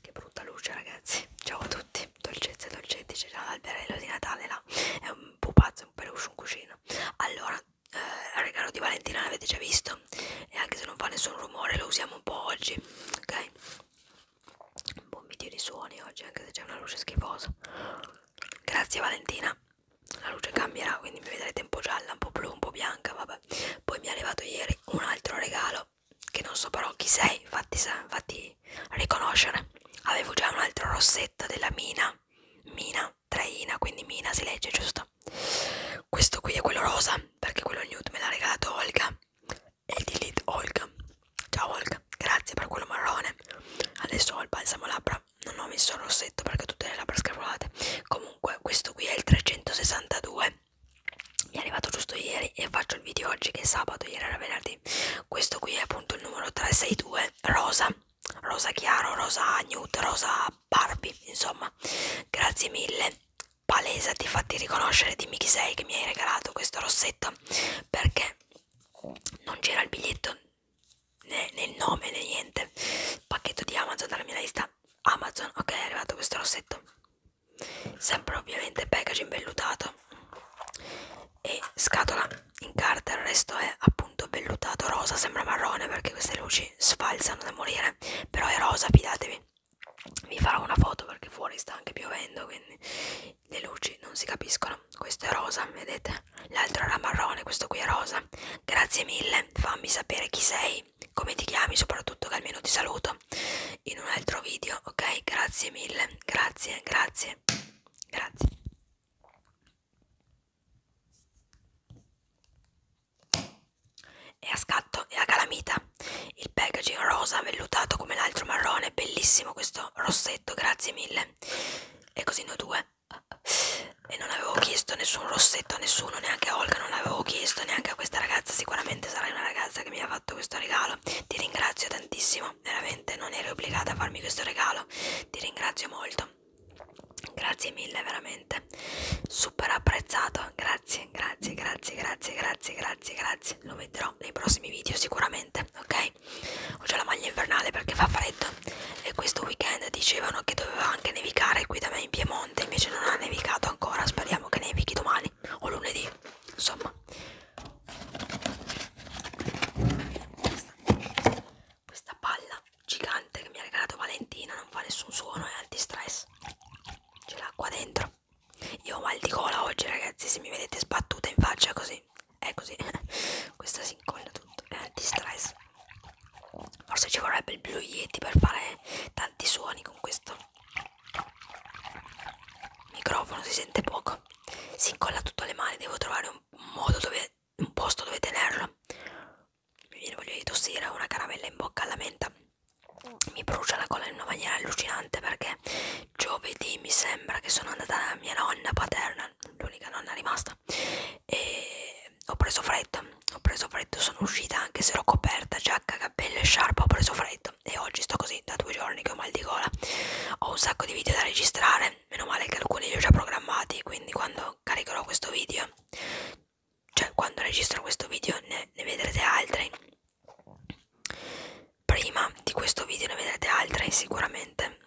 Che brutta luce ragazzi, ciao a tutti, dolcezze dolcetti, c'è già l'alberello di Natale là, è un pupazzo, un peluche, un cuscino. Allora, eh, il regalo di Valentina l'avete già visto e anche se non fa nessun rumore lo usiamo un po' oggi, ok? buon video di suoni oggi anche se c'è una luce schifosa grazie Valentina la luce cambierà quindi mi vedrete un po' gialla un po' blu un po' bianca vabbè poi mi è arrivato ieri un altro regalo che non so però chi sei fatti, fatti riconoscere avevo già un altro rossetto della Mina Mina Traina quindi Mina si legge giusto questo qui è quello rosa perché quello nude me l'ha regalato Olga e di Lid Olga. Ciao Olga, grazie per quello marrone. Adesso ho il balsamo labbra, non ho messo il rossetto perché ho tutte le labbra scavolate. Comunque questo qui è il 362. Mi è arrivato giusto ieri e faccio il video oggi che è sabato, ieri era venerdì. Questo qui è appunto il numero 362 rosa, rosa chiaro, rosa nude, rosa Barbie, insomma. Grazie mille. Palesa, ti fatti riconoscere, dimmi chi sei che mi hai regalato questo rossetto realtà perché non c'era il biglietto né, né il nome né niente pacchetto di Amazon dalla mia lista Amazon ok è arrivato questo rossetto sempre ovviamente packaging vellutato e scatola in carta il resto è appunto vellutato rosa sembra marrone perché queste luci sfalzano da morire però è rosa fidatevi vi farò una foto perché fuori sta anche piovendo quindi le luci non si capiscono questo è rosa vedete l'altro era marrone questo qui è rosa grazie mille fammi sapere chi sei come ti chiami soprattutto che almeno ti saluto in un altro video ok grazie mille grazie grazie grazie e a scatto e a calamita il packaging rosa vellutato come l'altro marrone bellissimo questo rossetto grazie mille e così noi due e non avevo chiesto nessun rossetto a nessuno neanche a Olga non l'avevo chiesto neanche a questa ragazza sicuramente sarai una ragazza che mi ha fatto questo regalo ti ringrazio tantissimo veramente non eri obbligata a farmi questo regalo ti ringrazio molto grazie mille veramente super apprezzato grazie grazie grazie, grazie, grazie, grazie, grazie, grazie. Lo metterò nei prossimi video sicuramente, ok? Ho già la maglia invernale perché fa freddo e questo weekend dicevano che doveva anche nevicare qui da me in Piemonte, invece non ha nevicato ancora, speriamo che nevichi domani o lunedì, insomma. Questa, questa palla gigante che mi ha regalato Valentina non fa nessun suono, è anti-stress. C'è l'acqua dentro io ho mal di gola oggi, ragazzi. Se mi vedete sbattuta in faccia così, è così. Questa si incolla tutto. È anti-stress. Forse ci vorrebbe il blu Yeti per fare tanti suoni con questo microfono. Si sente poco. Si incolla tutto alle mani. Devo trovare un modo dove, un posto dove tenerlo. Mi viene voglia di tossire una caramella in bocca alla menta mi brucia la colla in una maniera allucinante perché giovedì mi sembra che sono andata da mia nonna paterna, l'unica nonna rimasta, e ho preso freddo, ho preso freddo, sono uscita anche se ero coperta, giacca, cappello e sciarpa, ho preso freddo e oggi sto così da due giorni che ho mal di gola, ho un sacco di video da registrare, meno male che alcuni li ho già programmati, quindi quando caricherò questo video cioè quando registro questo video ne, ne vedrete altri prima di questo video ne vedrete altri sicuramente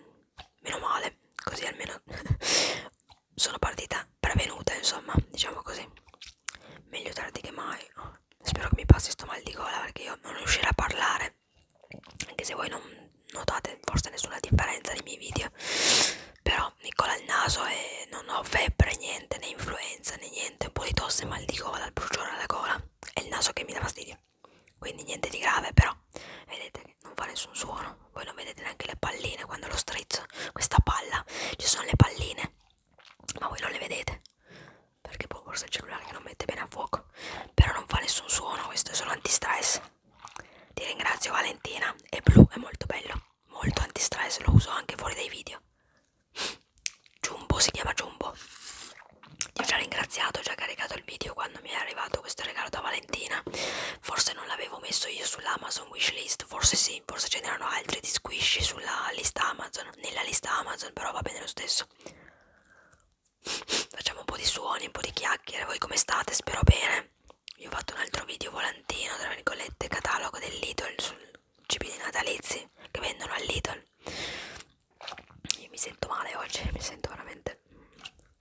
meno male così almeno sono partita prevenuta insomma diciamo così meglio tardi che mai spero che mi passi sto mal di gola perché io non riuscirò a parlare anche se voi non notate forse nessuna differenza nei miei video però Nicola al naso e non ho febbre, niente, né influenza, né niente, un po' di tosse, mal di gola, il bruciore alla gola, è il naso che mi dà fastidio, quindi niente di grave, però vedete che non fa nessun suono, voi non vedete neanche le palline quando lo strizzo, questa palla, ci sono le palline, ma voi non le vedete, perché poi boh, forse il cellulare che non mette bene a fuoco, però non fa nessun suono, questo è solo antistress. Ti ringrazio Valentina, è blu, è molto bello molto antistress, lo uso anche fuori dai video. Jumbo si chiama Jumbo. Ti ho già ringraziato, ho già caricato il video quando mi è arrivato questo regalo da Valentina. Forse non l'avevo messo io sull'Amazon wishlist, forse sì, forse ce n'erano altri di squishy sulla lista Amazon, nella lista Amazon, però va bene lo stesso. Facciamo un po' di suoni, un po' di chiacchiere. Voi come state? Spero bene. Io ho fatto un altro video volantino, tra virgolette, catalogo del Lidl sul cibi natalizi che vendono al Lidl. Io mi sento male oggi, mi sento veramente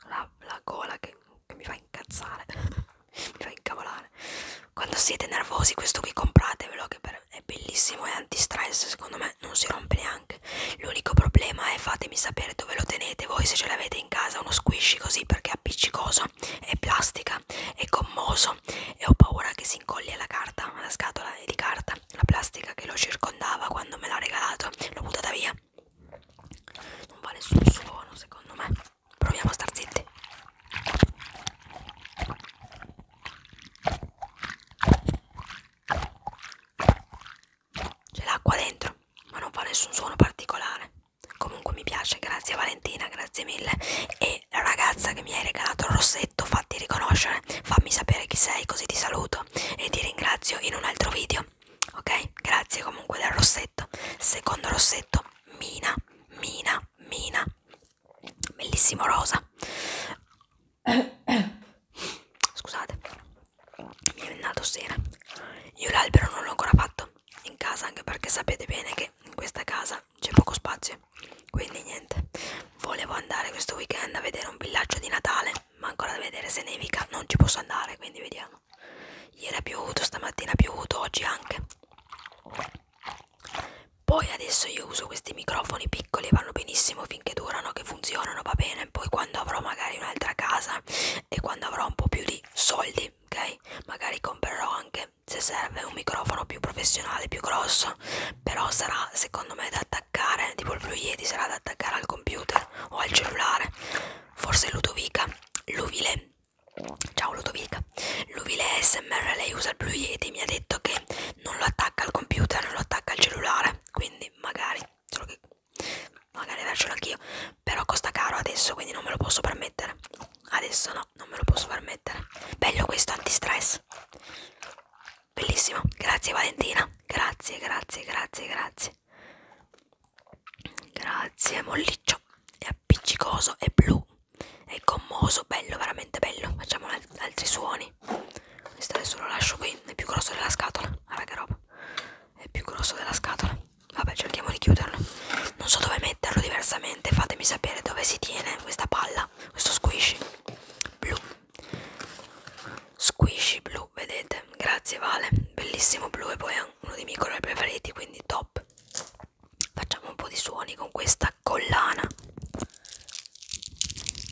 la, la gola che, che mi fa incazzare, mi fa incavolare. Quando siete nervosi questo qui compratevelo che per, è bellissimo, è antistress, secondo me non si rompe neanche. L'unico problema è fatemi sapere dove lo tenete voi se ce l'avete avete in casa uno squishy così perché è appiccicoso, è plastica, è gommoso e ho paura che si incolli alla carta, alla scatola di carta, la plastica che lo circondava quando me l'ha regalato, l'ho buttata via. Non va nessun suono secondo me. Proviamo a star zitti. C'è l'acqua dentro, ma non fa nessun suono particolare. Comunque mi piace, grazie Valentina, grazie mille. E la ragazza che mi hai regalato il rossetto, fatti riconoscere, fammi sapere chi sei così ti saluto e ti ringrazio in un altro video. Ok? Grazie comunque del rossetto. Secondo rossetto, Mina, Mina, Mina. Bellissimo rosa. Scusate mi è venato sera io l'albero non l'ho ancora fatto in casa anche perché sapete bene che in questa casa c'è poco spazio quindi niente volevo andare questo weekend a vedere un villaggio di Natale ma ancora da vedere se nevica non ci posso andare quindi vediamo ieri ha piovuto stamattina ha piovuto oggi anche poi adesso io uso questi microfoni piccoli vanno benissimo finché durano che funzionano va bene e poi quando avrò magari un'altra casa e quando avrò un po' più di soldi, ok? Magari comprerò anche se serve un microfono più professionale, più grosso, però sarà secondo me da attaccare, tipo il Blue Yeti sarà da attaccare al computer o al cellulare. Forse Ludovica, Luvile. Ciao Ludovica, Luvile SMR lei usa il Blue Yeti, mi ha detto che non lo attacca al computer, non lo attacca al cellulare, quindi magari solo che magari avercelo anch'io però costa caro adesso quindi non me lo posso permettere adesso no non me lo posso permettere bello questo antistress bellissimo grazie Valentina grazie grazie grazie grazie grazie molliccio è appiccicoso è blu è gommoso bello veramente bello facciamo altri suoni questo adesso lo lascio qui è più grosso della scatola ah, che roba è più grosso della scatola vabbè cerchiamo di chiuderlo non so dove metterlo diversamente fatemi sapere dove si tiene questa palla questo squishy blu squishy blu vedete grazie Vale bellissimo blu e poi è uno dei miei colori preferiti quindi top facciamo un po' di suoni con questa collana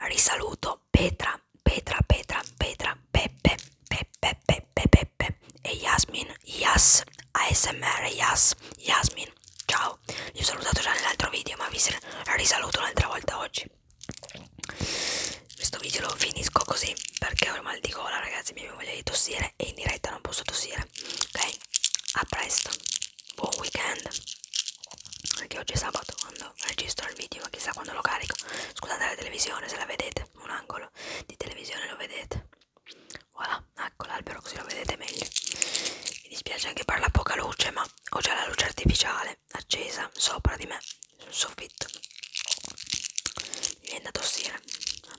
Risaluto Petra, Petra, Petra, Petra, Peppe, Peppe, Peppe, Peppe e Yasmin, Yas, ASMR, Yas, Yasmin. Ciao, vi ho salutato già nell'altro video, ma vi risaluto un'altra volta oggi. Questo video lo finisco così perché ho il mal di gola, ragazzi. Mi io voglio tossire e in diretta non posso tossire ok a presto buon weekend anche oggi è sabato quando registro il video ma chissà quando lo carico scusate la televisione se la vedete un angolo di televisione lo vedete voilà ecco l'albero così lo vedete meglio mi dispiace anche per la poca luce ma ho già la luce artificiale accesa sopra di me sul soffitto mi viene da tossire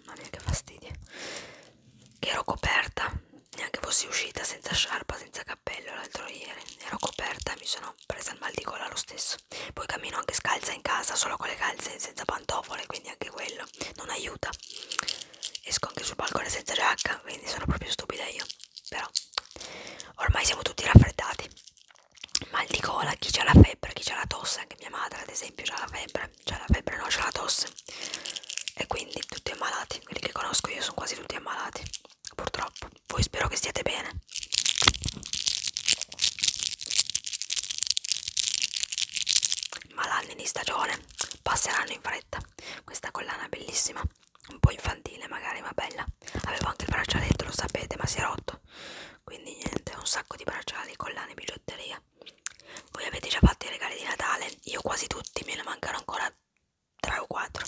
mamma mia che fastidio che ero coperta neanche fossi uscita senza sciarpa senza cappello l'altro ieri ero coperta e mi sono presa il mal di gola lo stesso poi cammino anche scalza in casa solo con le calze senza pantofole quindi anche quello non aiuta esco anche sul balcone senza giacca quindi sono proprio stupida io però ormai siamo tutti raffreddati mal di gola, chi c'ha la febbre, chi c'ha la tosse, anche mia madre ad esempio c'ha la febbre, c'ha la febbre, no, c'ha la tosse e quindi tutti ammalati, quelli che conosco io sono quasi tutti ammalati, purtroppo, voi spero che stiate bene. Ma l'anni di stagione passeranno in fretta, questa collana è bellissima, un po' infantile magari ma bella, avevo anche il braccialetto, lo sapete, ma si è rotto quindi niente un sacco di bracciali collane bigiotteria voi avete già fatto i regali di Natale io quasi tutti me ne mancano ancora 3 o 4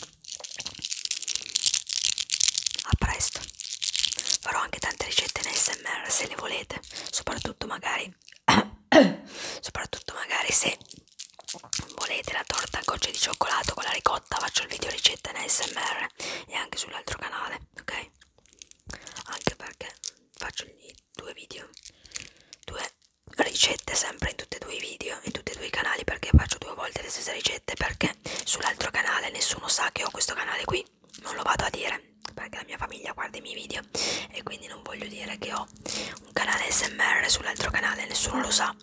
a presto farò anche tante ricette in smr se le volete soprattutto magari soprattutto magari se volete la torta a gocce di cioccolato con la ricotta faccio il video ricetta in smr e anche sull'altro canale me, ok? Anche perché faccio gli due video, due ricette sempre in tutti e due i video, in tutti e due i canali perché faccio due volte le stesse ricette perché sull'altro canale nessuno sa che ho questo canale qui, non lo vado a dire perché la mia famiglia guarda i miei video e quindi non voglio dire che ho un canale smr sull'altro canale, nessuno lo sa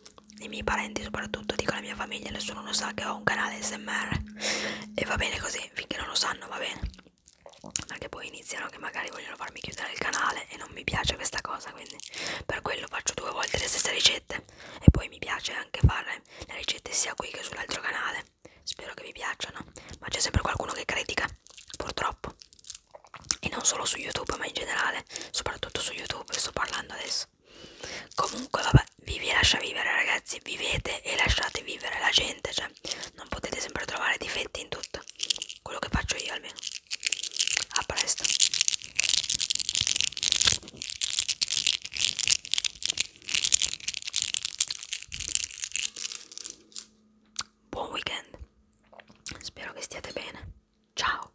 i miei parenti soprattutto dico la mia famiglia nessuno lo sa che ho un canale smr e va bene così finché non lo sanno va bene anche poi iniziano che magari vogliono farmi chiudere il canale e non mi piace questa cosa quindi per quello faccio due volte le stesse ricette e poi mi piace anche fare le ricette sia qui che sull'altro canale spero che vi piacciono ma c'è sempre qualcuno che critica purtroppo e non solo su youtube ma in generale soprattutto su youtube sto parlando adesso Pass. Comunque, vabbè, vivi e lascia vivere, ragazzi. Vivete e lasciate vivere la gente. Cioè, non potete sempre trovare difetti in tutto. Quello che faccio io almeno. A presto. Buon weekend. Spero che stiate bene. Ciao.